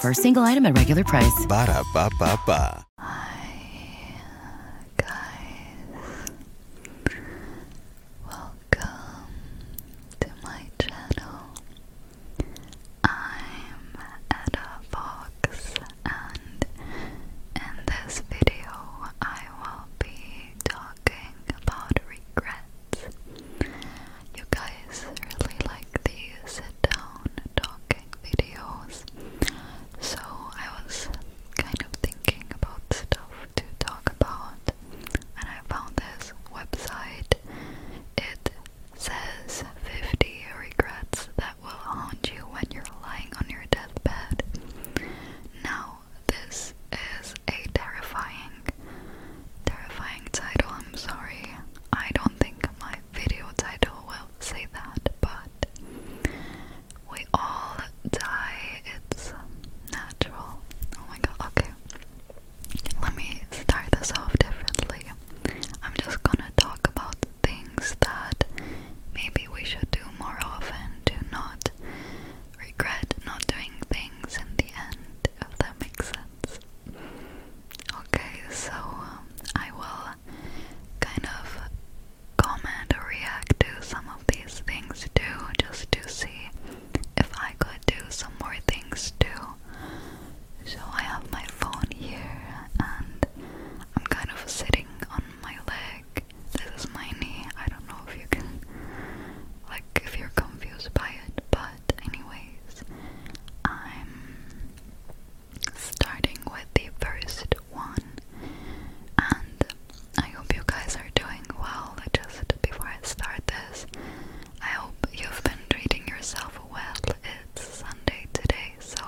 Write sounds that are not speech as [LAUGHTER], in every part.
For a single item at regular price. Ba da ba ba Welcome to my channel. I'm Ada Fox, and in this video, I will be talking about regrets. You guys really like these sit down talking videos, so I was kind of thinking about stuff to talk about, and I found this website. It says 50 regrets that will haunt you when you're lying on your deathbed. Now, this is a terrifying terrifying title, I'm sorry. I don't think my video title will say that, but we all die, it's natural. Oh my god, okay. Let me start this off differently. I'm just gonna talk about things that maybe we should do more often to not regret not doing things in the end, if that makes sense. Okay, so um, I will kind of comment or react to some of these things too, just to see if I could do some more things too. So I have my phone here and I'm kind of sitting on my leg. This is my knee. I don't know if you can, like, if you're confused by it, but anyways, I'm starting with the first one and I hope you guys are doing well. Just before I start this, I hope you've been treating yourself well. It's Sunday today, so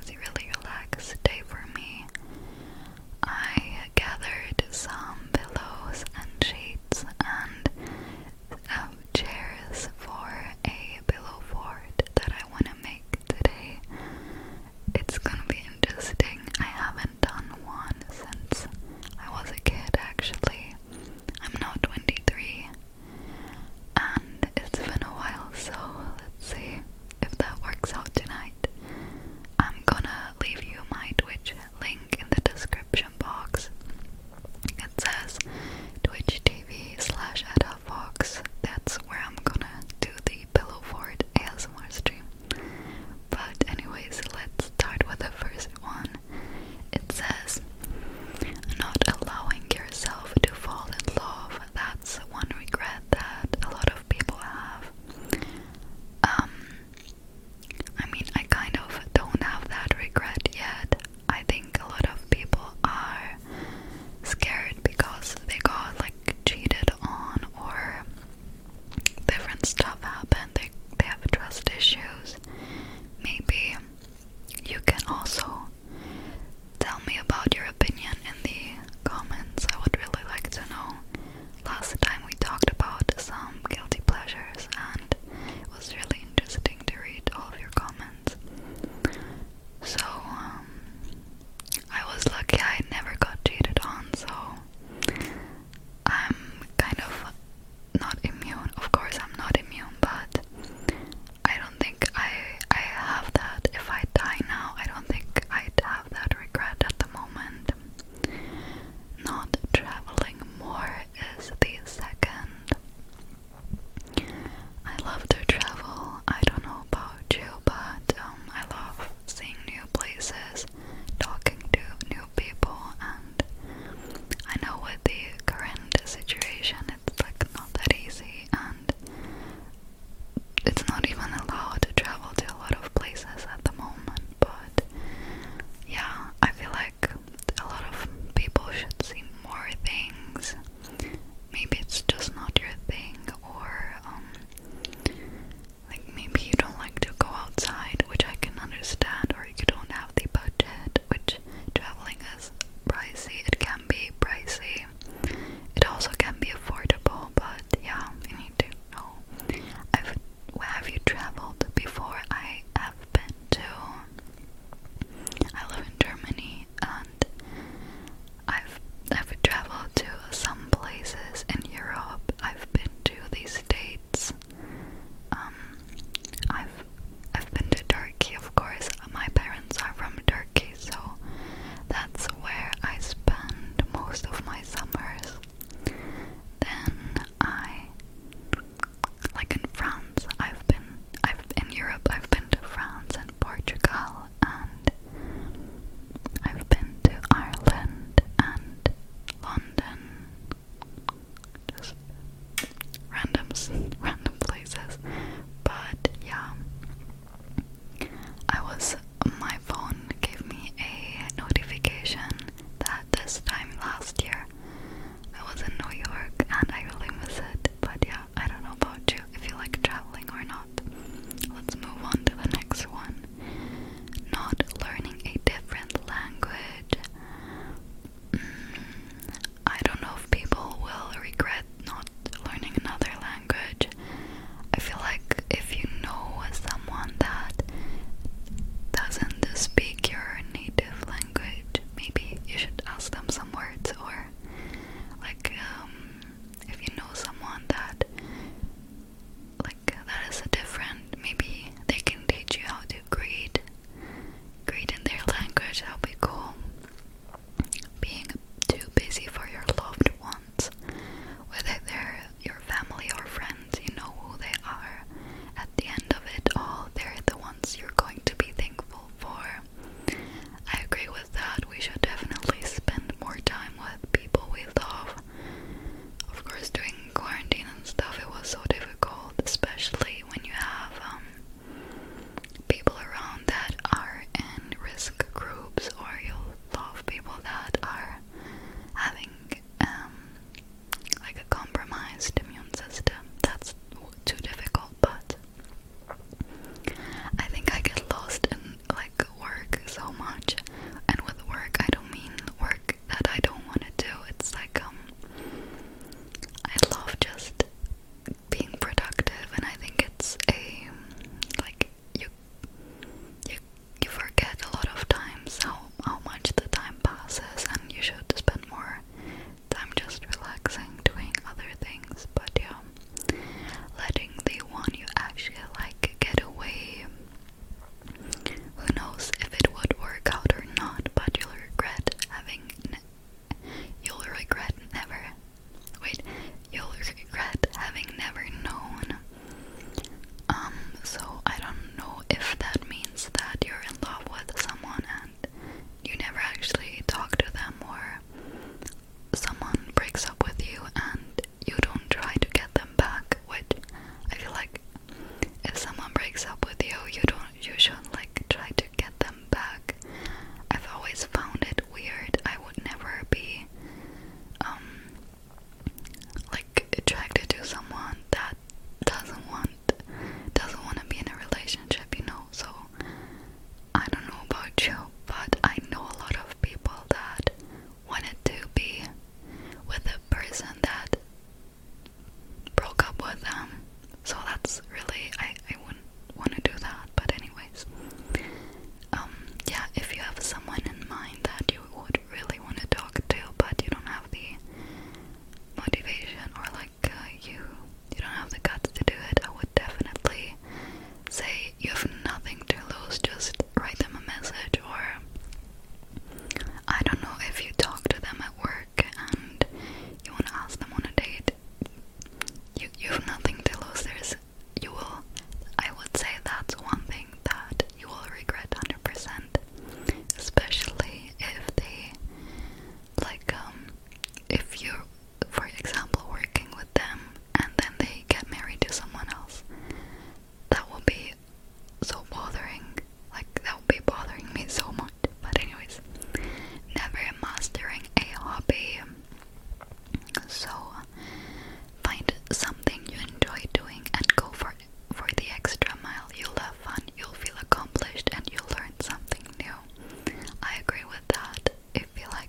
it's a really relaxed day for me. I gathered some pillows and sheets and um, chairs for a pillow fort that I want to make today. It's gonna be interesting. I haven't done one since I was a kid, actually. I'm now 23, and it's been a while, so let's see if that works out tonight. I'm gonna leave you my Twitch link in the description box. It says Twitch TV slash Ada That's where I'm gonna do the Pillow Fort ASMR stream. But anyways, let's start with the first one. It says not allowing yourself to fall in love. That's one regret that a lot of people have. Um I mean, I kind of don't have that regret yet. I think a lot of people are scared because they got like cheated on or different stuff happened. They they have trust issues. Maybe you can also tell me about your opinion in the comments. I would really like to know. Last time we talked about some guilty pleasures and it was really interesting to read all of your comments. So, um, I was lucky I never got cheated on, so I'm kind of not immune. Of course, I'm not immune, but I don't think I I have that. If I die now, I don't think I'd have that regret at the moment. Not traveling more is the second. I love to travel. I don't know about you, but um, I love seeing new places, talking to new people, and I know with the current situation, it's like not that easy, and it's not even allowed to travel to a lot of places at the moment. But yeah, I feel like like a lot of people should see more things. Maybe it's just not your thing, or um, like maybe you don't like to go outside, which I can understand, or you don't have the budget, which traveling is pricey. It can be pricey. It also can be affordable, but yeah, you need to know. I've, where have you traveled before? I have been to I live in Germany and I've I've traveled to some places in Europe. I've been to these States. Um, I've I've been to Turkey of course. My parents are from Turkey so that's where I spend most of my summers. Then I like in France, I've been, I've in Europe, I've been to France and Portugal, and I've been to Ireland and London, just random, random places. But yeah, I was. My phone gave me a notification that this time last year I was in New York and I really miss it. But yeah, I don't know about you if you like traveling or not. Let's move on to the next one. Not learning a different language. Mm, I don't know if people will regret not learning another language. I feel like if you know someone that doesn't speak your native language, maybe you should ask them some words or like um, if you know someone that like that is a different, maybe they can teach you how to greet, greet in their language. That'll be cool. Being too busy for your loved ones, whether they're your family or friends, you know who they are. At the end of it all, they're the ones you're going to be thankful for. I agree with that. We should definitely spend more time with people we love. Of course, during quarantine and stuff, it was so difficult, especially when you have um, people around that are in risk groups or you love people that are having um, like a compromised immune system. That's too difficult, but I think I get lost in like work so much. And with work, I don't mean work that I don't want to do. It's like um, I love just being productive, and I think it's a like you you you forget a lot of times how how much the time passes, and you should spend more I'm just relaxing, doing other things, but yeah, letting the one you actually like get away. Who knows if it would work out or not, but you'll regret having. You'll regret never. Wait, you'll regret having never known. Um, so I don't know if that means that you're in love with someone you never actually talk to them or someone breaks up with you and you don't try to get them back which I feel like if someone breaks up with you you don't you shouldn't like try to get them back. I've always found it weird. I would never be um like attracted to someone that doesn't want doesn't want to be in a relationship, you know. So I don't know about you, but I know a lot of people that wanted to be with a person that broke up with them. So that's really I I wouldn't want to do that, but anyways. Um yeah, if you have someone in mind that you would really want to talk to, but you don't have the motivation or like uh, you you don't have the guts to do it, I would definitely say you have nothing to lose. Just write them a message, or I don't know if you talk to them at work and you want to ask them on a date. You you have nothing to lose. There's you will. I would say that's one thing that you will regret hundred percent, especially if they like um, if you for example working with them and then they get married to someone else that would be so bothering like that would be bothering me so much but anyways never mastering a hobby so find something you enjoy doing and go for for the extra mile. You'll have fun, you'll feel accomplished, and you'll learn something new. I agree with that. I feel like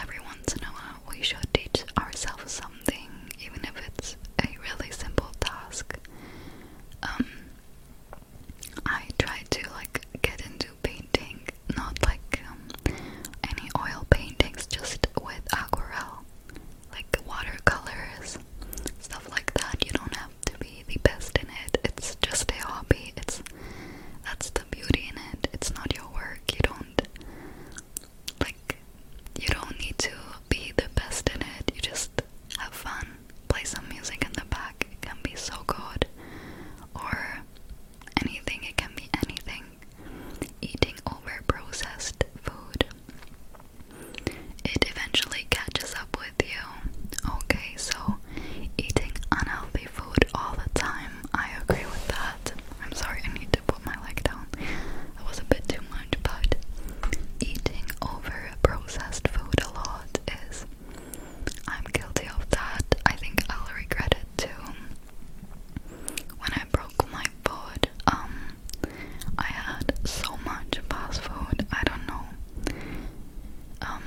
every once in a while we should teach ourselves something, even if it's a really simple task. Um, I try to like get into painting, not like um, any oil paintings, just with aquarelle, like watercolors, stuff like that. You don't have to be the best in it. It's just a hobby. It's that's the beauty in it. It's not your work. You don't like you don't need to be the best in it. You just have fun. Play some music in the back. It can be so good. Or anything, it can be anything. Eating over food. It eventually catches up with Okay, so eating unhealthy food all the time, I agree with that. I'm sorry, I need to put my leg down. I was a bit too much, but eating over processed food a lot is. I'm guilty of that. I think I'll regret it too. When I broke my foot, um, I had so much fast food, I don't know. Um,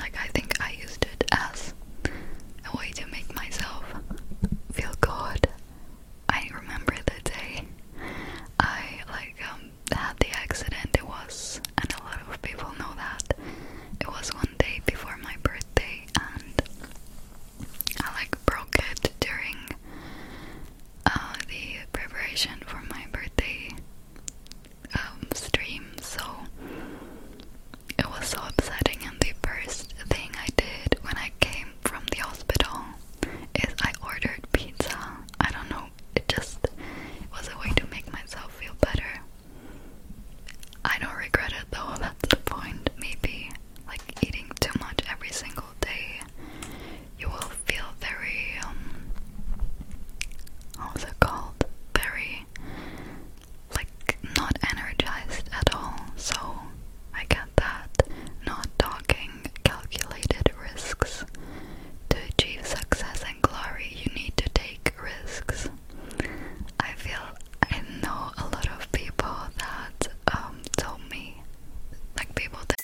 like I think I used it as a way to make myself feel good. I remember the day I like um, had the accident. It was, and a lot of people know that it was one day before my birthday, and I like broke it during uh, the preparation for my birthday um, stream, so it was so upsetting. And the first thing I did when I came from the hospital is I ordered pizza. I don't know, it just was a way to make myself feel better. I don't regret it though, [LAUGHS] that's the point. Maybe like eating too much every single day you will feel very, um, how's it called? Very, like, not energized at all. So, I get that. Not talking calculated risks. To achieve success and glory, you need to take risks. I feel I know a lot of people that um, told me, like people that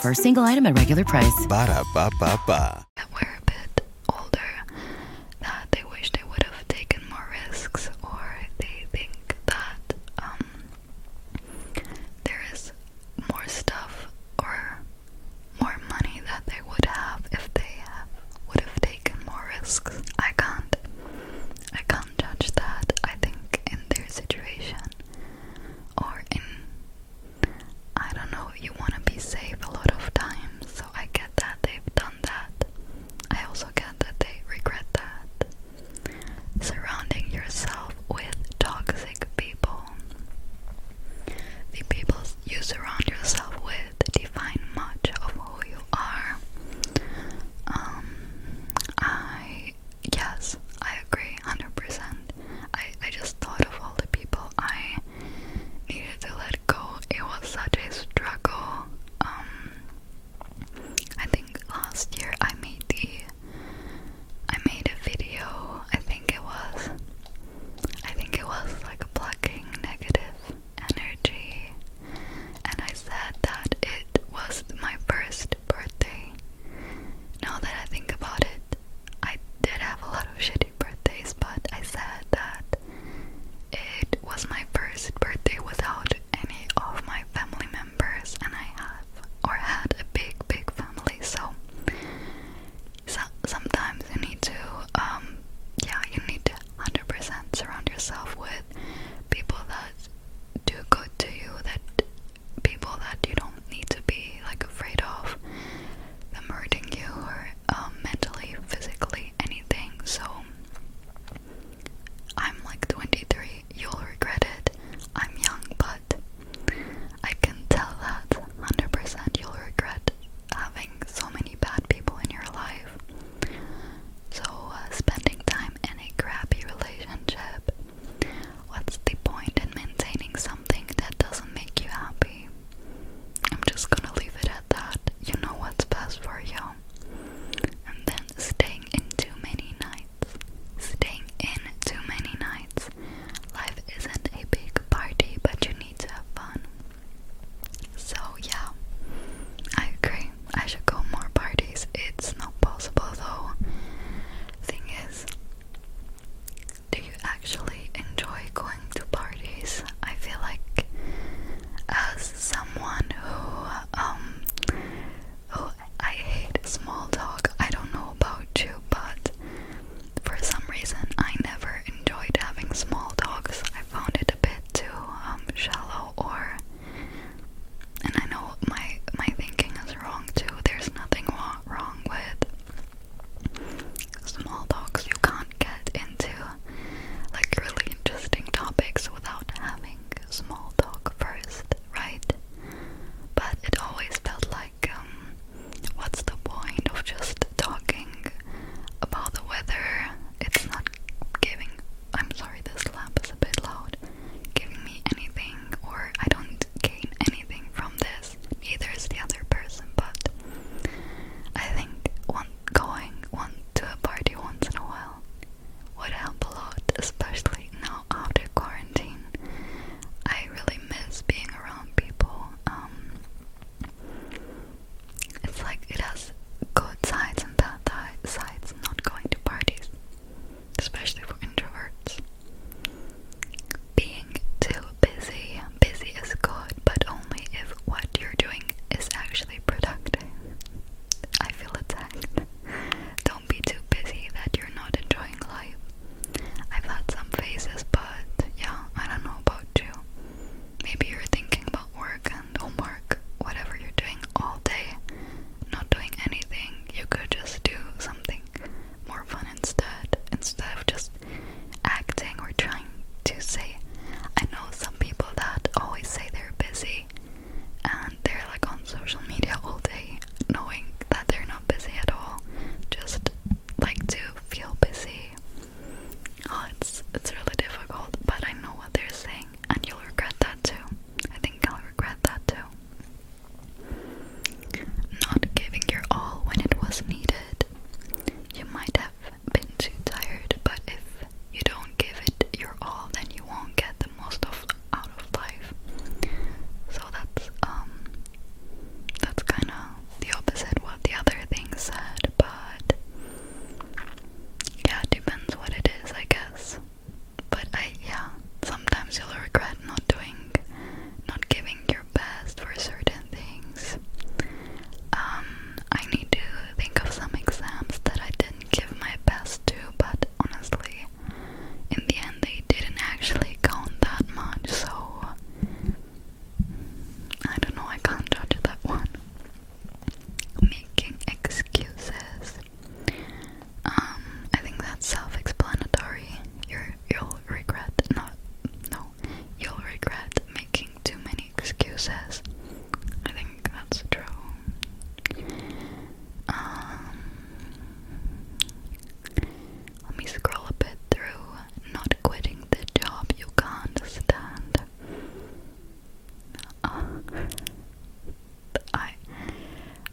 For a single item at regular price. Ba We're a bit older, that they wish they would have taken more risks, or they think that um, there is more stuff or more money that they would have if they would have taken more risks. I can't. I can't judge that. I think in their situation, or in I don't know, you want to be safe a lot of times, so I get that they've done that. I also get that they regret that. Surrounding yourself with toxic people. The people you surround yourself with define much of who you are. Um, I yes, I agree 100%. I, I just thought of all the people I needed to let go. It was such a struggle. Um, I think last year I made the I made a video. I think it was I think it was like plucking negative energy, and I said that it was my first birthday now that I think about it, I did have a lot of shitty birthdays, but I said that it was my first birthday without any of my family members, and I have or had a big, big family, so, so sometimes you need to, um, yeah, you need to 100% surround yourself with people that do good to you, that people that you don't need to be like afraid of them hurting you or um, mentally, physically, anything. So I'm like 23. You'll regret it. I'm young, but I can tell that 100% you'll regret having so many bad people in your life. So, uh, spending time in a crappy relationship What's the point in maintaining something that doesn't make you happy? I'm just gonna leave it at that. You know what's best for you. And then staying in too many nights. Staying in too many nights. Life isn't a big party, but you need to have fun. So, yeah, I agree. I should go more parties. It's not possible though. Thing is, do you actually enjoy going to parties? I feel like, as someone who, um, who I hate small talk, I don't know about you, but for some reason I never enjoyed having small talks. I found it a bit too um, shallow or and I know my my thinking is wrong too. There's nothing wrong with small talks. You can't get into like really interesting topics without having small talk first, right? But it always felt like um, what's the point of just talking about the weather? It's not giving. I'm sorry, this lamp is a bit loud. Giving me anything, or I don't gain anything from this, either is the other person, but I think one going one to a party once in a while would help a lot, especially now after quarantine. I really miss being around people. Um, it's like it has good sides and bad sides. Not going to parties especially for introverts. Being too busy. Busy is good, but only if what you're doing is actually productive. I feel attacked. Don't be too busy that you're not enjoying life. I've had some phases, but yeah, I don't know about you. Maybe you're thinking about work and homework, whatever you're doing all day, not doing anything, you could just do something more fun instead, instead of just acting or trying to say. I know some people that always say they're busy and they're like on social media all day, knowing that they're not busy at all, just like to feel busy. Oh, it's it's really difficult, but I know what they're saying, and you'll regret that too. I think I'll regret that too. Not giving your all when it was needed. You might have been too tired, but if you don't give it your all, then you won't get the most of out of life. So that's um that's kind of the opposite what the other thing said, but yeah, depends what it is, I guess. But I yeah, sometimes you'll regret not doing not giving your best for certain things. Um I need to think of some exams that I didn't give my best to, but honestly, in the end they didn't actually count that much, so I don't know, I can't judge that one. Making excuses. Um, I think that's self-explanatory. you will regret not, no, you'll regret making too many excuses. I think that's true. Um, let me scroll a bit through. Not quitting the job you can't stand. Uh, I,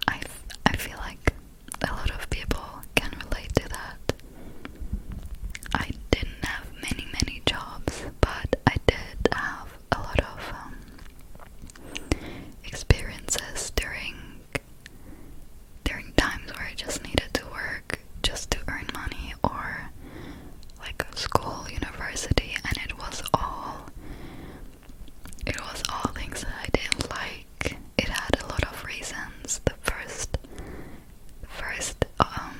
I, I feel like a lot of people can relate to that. I didn't have many, many jobs, but I did have a lot of um, experiences during during times where I just needed to work just to earn money or like school, university, and it was all it was all things that I didn't like. It had a lot of reasons. The first, first, um,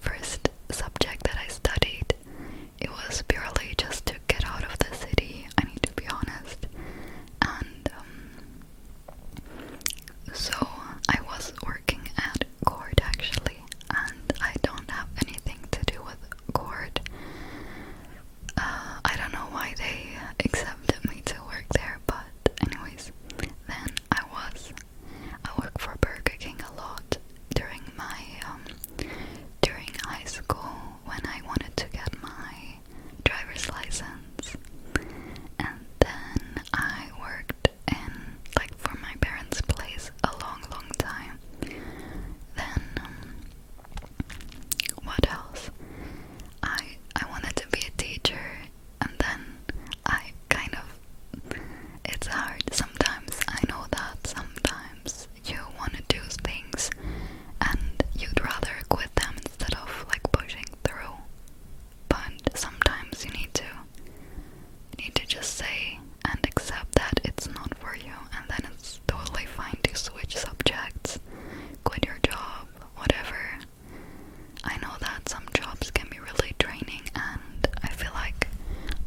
first subject that I studied, it was purely just to get out of the city. I need to be honest, and um, so I was working at court actually, and I don't have anything to do with court. Uh, I don't know why they accepted me to work there, but anyways, then I was. I worked for Burger King a lot during my um, during high school when I wanted to get my driver's license, and then I worked in like for my parents' place a long, long time. Then um, what else? I I wanted to be a teacher and then I kind of it's hard sometimes. I know that sometimes you want to do things and you'd rather quit them instead of like pushing through. But sometimes you need to you need to just say and accept that it's not for you and then it's totally fine to switch subjects, quit your job, whatever. I know that some jobs can be really draining, and I feel like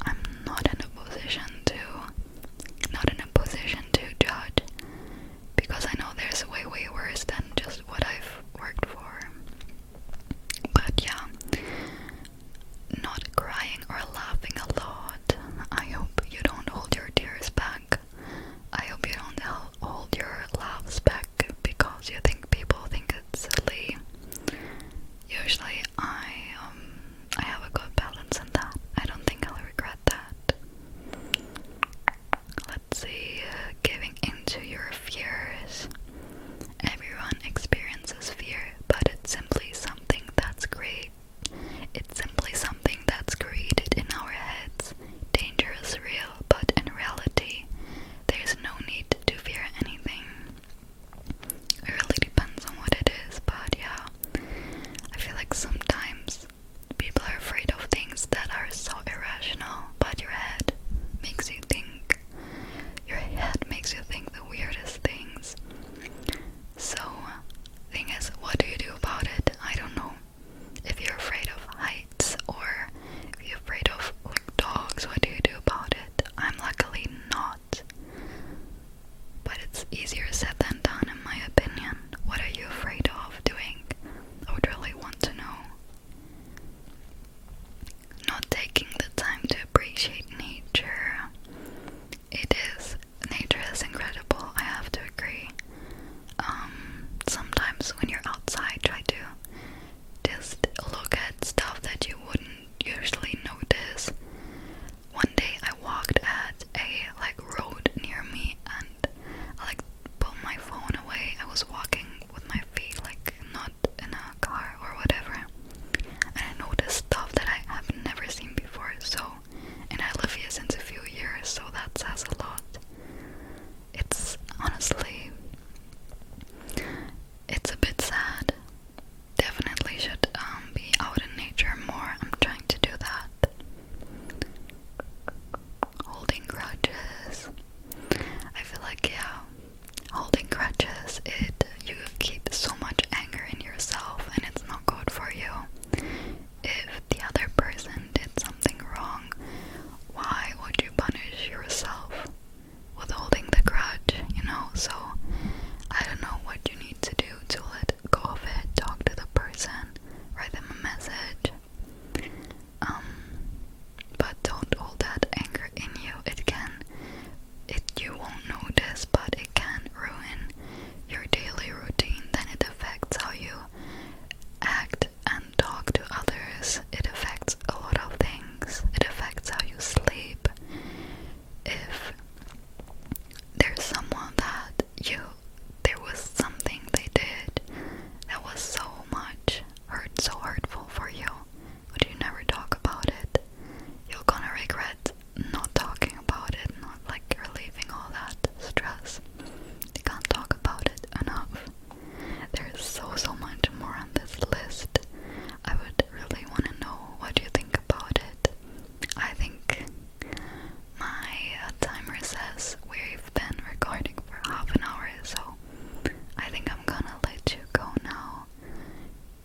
I'm not in a position to, not in a position to judge, because I know there's way, way worse than just what I've worked for. But yeah, not crying or laughing a lot. I hope you don't hold your tears back. I hope you don't hold your laughs back because you think people think it's silly. Usually, I um I have a good balance in that. I don't think I'll regret that. Let's see, uh, giving into your fears. Everyone experiences fear, but it's simply something that's great it's simply something that's created in our heads. Danger is real, but in reality, there's no need to fear anything. It really depends on what it is, but yeah, I feel like sometimes people are afraid of things that are so irrational, but your head makes you think. Your head makes you think the weirdest things. So, thing is, what do you do about it? I don't know. If you're afraid of heights or if you're afraid of dogs, what do you do about it? I'm luckily not. But it's easier said than done in my opinion. What are you afraid of doing? I would really want to know. Not taking the time to appreciate nature. It is. Nature is incredible, I have to agree. Um, sometimes when you're outside, try to just look at stuff that you wouldn't usually notice. One day I walked at a like road near me and I like put my phone away. I was walking with my feet like not in a car or whatever. And I noticed stuff that I have never seen before. So and I live here since a few years, so that says a lot. It's honestly, it's a bit sad. Definitely should um, be out in nature more. I'm trying to do that. Holding grudges. I feel like yeah, holding grudges. It you keep so much anger in yourself, and it's not good for you if the other person did something wrong, why would you punish yourself with holding the grudge, you know? So I don't know what you need to do to let go of it, talk to the person, write them a message. Um but don't hold that anger in you. It can it you won't notice but it can ruin your daily routine, then it affects how you act and talk to others. It affects a lot of things. It affects how you sleep. If there's someone that you there was something they did that was so much hurt so hurtful for you, but you never talk about it, you're gonna regret not talking about it, not like relieving all that stress. You can't talk about it enough. There is so, so much more on this list. I would really want to know what you think about it. I think my timer says we've been recording for half an hour, so I think I'm gonna let you go now.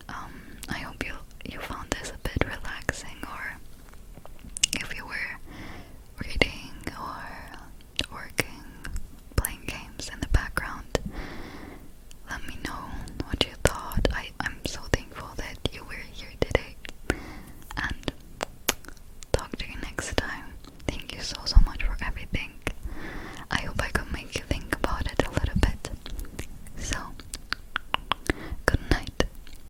Um, I hope you you found this a bit relaxing or if you were reading or working, playing games in the background, let me know what you thought. I, am so thankful that you were here today. And talk to you next time. Thank you so, so much for everything. I hope I could make you think about it a little bit. So, good night.